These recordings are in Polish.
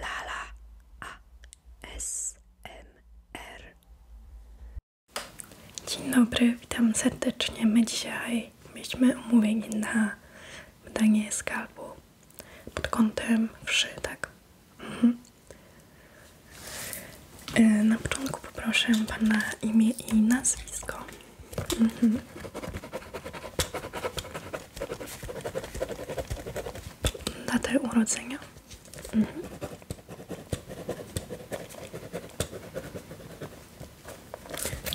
Lala ASMR. Dzień dobry, witam serdecznie. My dzisiaj mieliśmy omówienie na wydanie skalpu pod kątem wszy, tak? Mhm. E, na początku poproszę Pana imię i nazwisko. Mhm. Datę urodzenia. Mhm.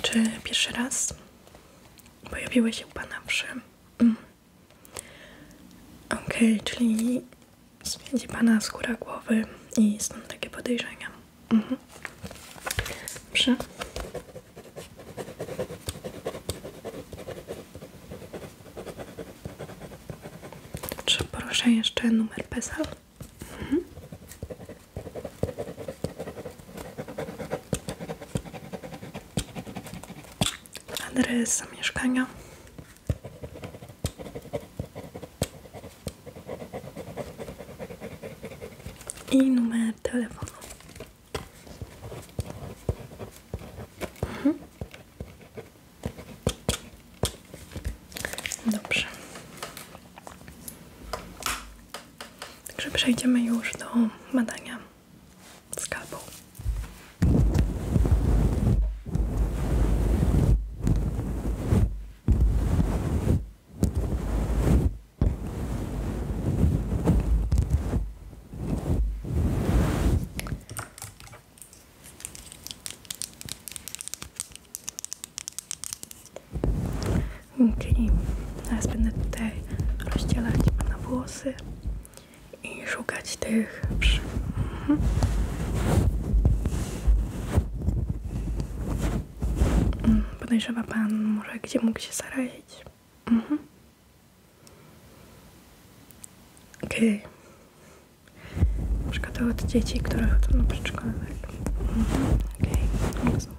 Czy pierwszy raz pojawiły się u Pana przy... Mm. Okej, czyli zwiedzi Pana skóra głowy i są takie podejrzenia. Mhm. Czy proszę jeszcze numer PESEL? Mhm. Adres mieszkania. I numer telefonu. Mhm. Dobrze. Także przejdziemy już do badania skalpu. Czyli teraz będę tutaj rozdzielać Pana włosy i szukać tych przy... Mhm. Mm, podejrzewa może, gdzie mógł się zarazić? Mhm. Okej. Okay. Na przykład od dzieci, które chodzą na przedszkolę. Tak? Mhm. Okej, okay. rozumiem.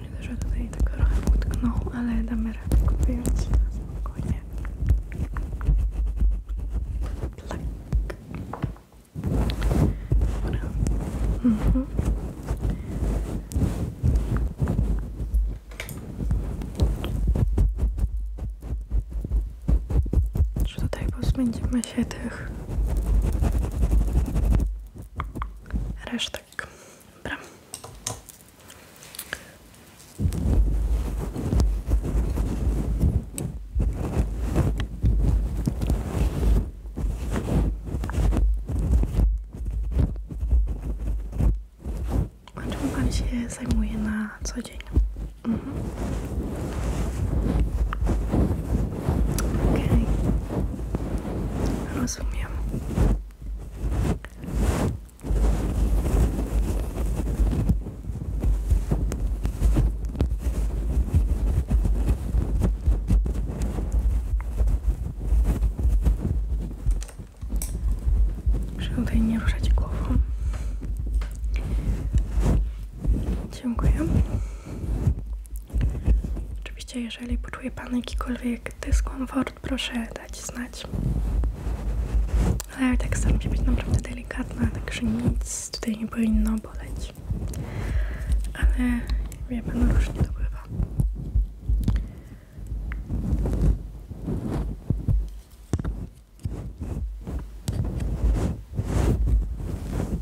Widzę, że tutaj tylko trochę utknął, ale damy radę go spokojnie. Plak. Mhm. tutaj pozbędziemy się tych Resztek. Dobra. A czym Pan się zajmuje na co dzień? Mhm. Okej. Okay. Że Proszę tutaj nie ruszać głową. Dziękuję. Oczywiście, jeżeli poczuje Pan jakikolwiek dyskomfort, proszę dać znać. Ale ja tak staram być naprawdę delikatna, także nic tutaj nie powinno boleć. Ale wie Pan, różnie nie bywa.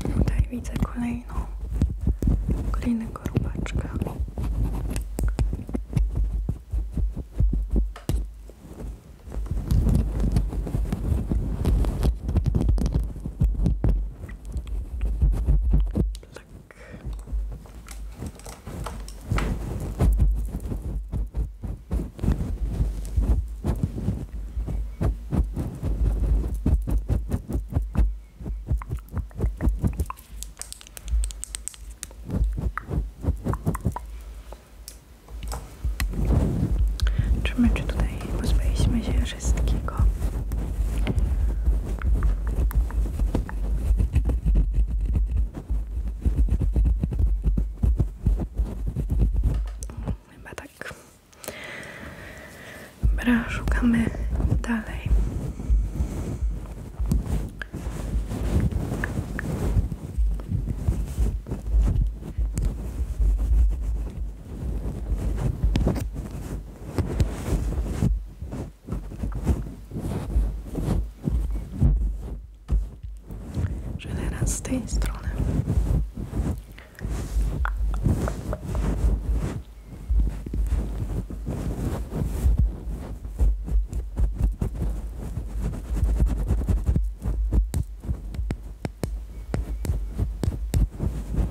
Tutaj widzę kolejną, kolejnego rubaczka. Tak czy my czy tutaj pozbyliśmy się wszystkiego. Chyba tak. Dobra, szukamy dalej że teraz z tej strony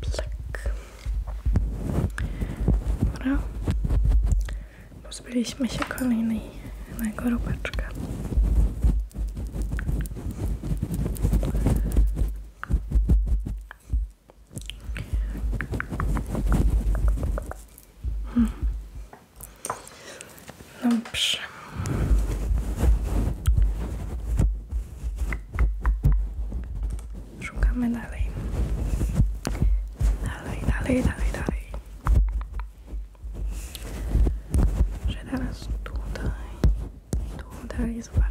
Plak. Dobra. Pozbyliśmy się kolejnego rubeczka. Hmm. Dobrze. Szukamy dalej. Dalej, dalej, dalej, dalej. Że teraz tutaj, tutaj zobaczę.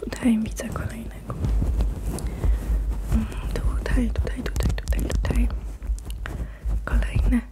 Tutaj widzę kolejnego. Tutaj, tutaj, tutaj, tutaj, tutaj. Kolejny.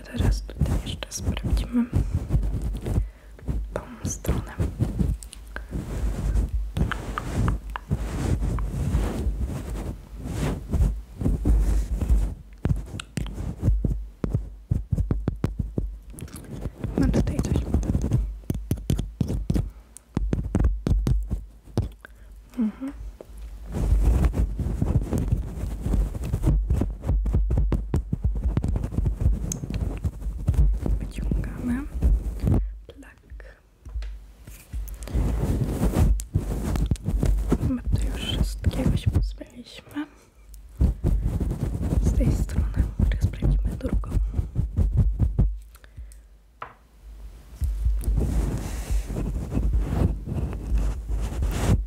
Może teraz tutaj jeszcze sprawdzimy tą stronę. No tutaj coś. Mhm. Wyciągamy. Plak. My już wszystkiego się pozbyliśmy. Z tej strony teraz sprawdzimy drugą.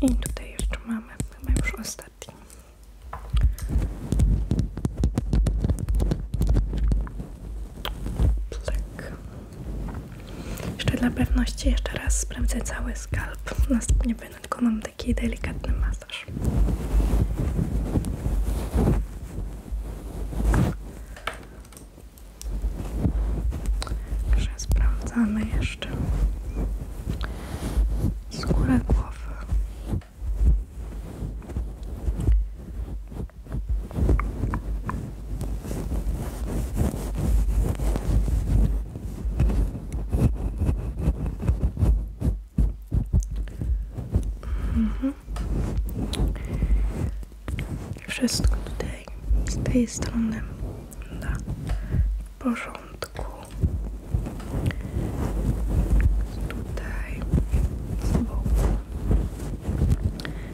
I tutaj jeszcze mamy już ostatni. Plik. Tak. Jeszcze dla pewności jeszcze raz sprawdzę cały skalp. Następnie będę dokonam taki delikatny mas twarz. Także sprawdzamy jeszcze skórę głowy. Mhm. Wszystko tutaj z tej strony na porządku. Tutaj z boku.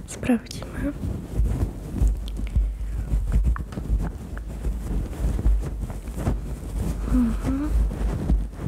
Sprawdzimy. Mhm.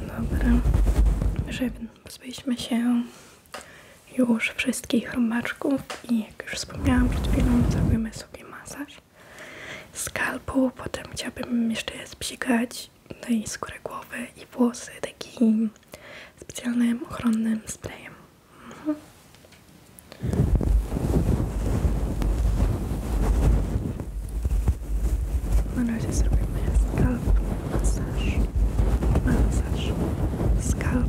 Dobra, pozbyliśmy się już wszystkich romaczków i jak już wspomniałam przed chwilą, zrobimy sobie masaż skalpu, potem chciałabym jeszcze spsikać no i skórę głowy i włosy takim specjalnym ochronnym sprayem. Mhm. When I just remove my scalp massage, massage, scalp. Good.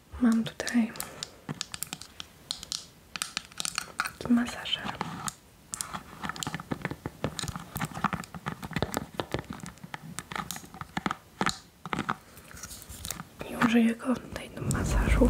Mam tutaj taki masażer. użyję go tutaj do masażu.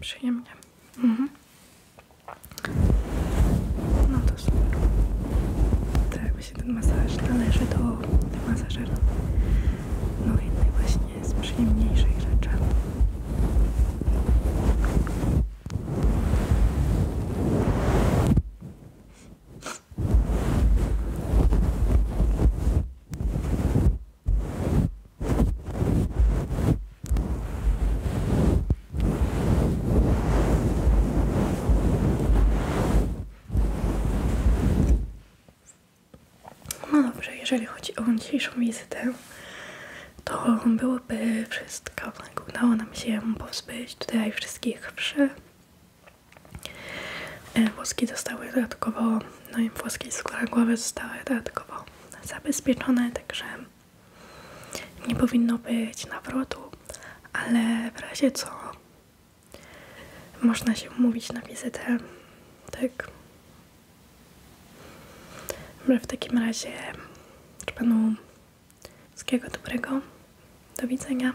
Przyjemnie. Mhm. No to super. To jakby się ten masaż należy do, do masażera. No jednej właśnie z przyjemniejszych no dobrze, jeżeli chodzi o dzisiejszą wizytę, to byłoby wszystko. Udało nam się pozbyć tutaj wszystkich wszy. E, włoski zostały dodatkowo, no i włoski skóra głowy zostały dodatkowo zabezpieczone, także nie powinno być nawrotu, ale w razie co można się umówić na wizytę. Tak. Dobra, w takim razie życzę Panu wszystkiego dobrego. Do widzenia.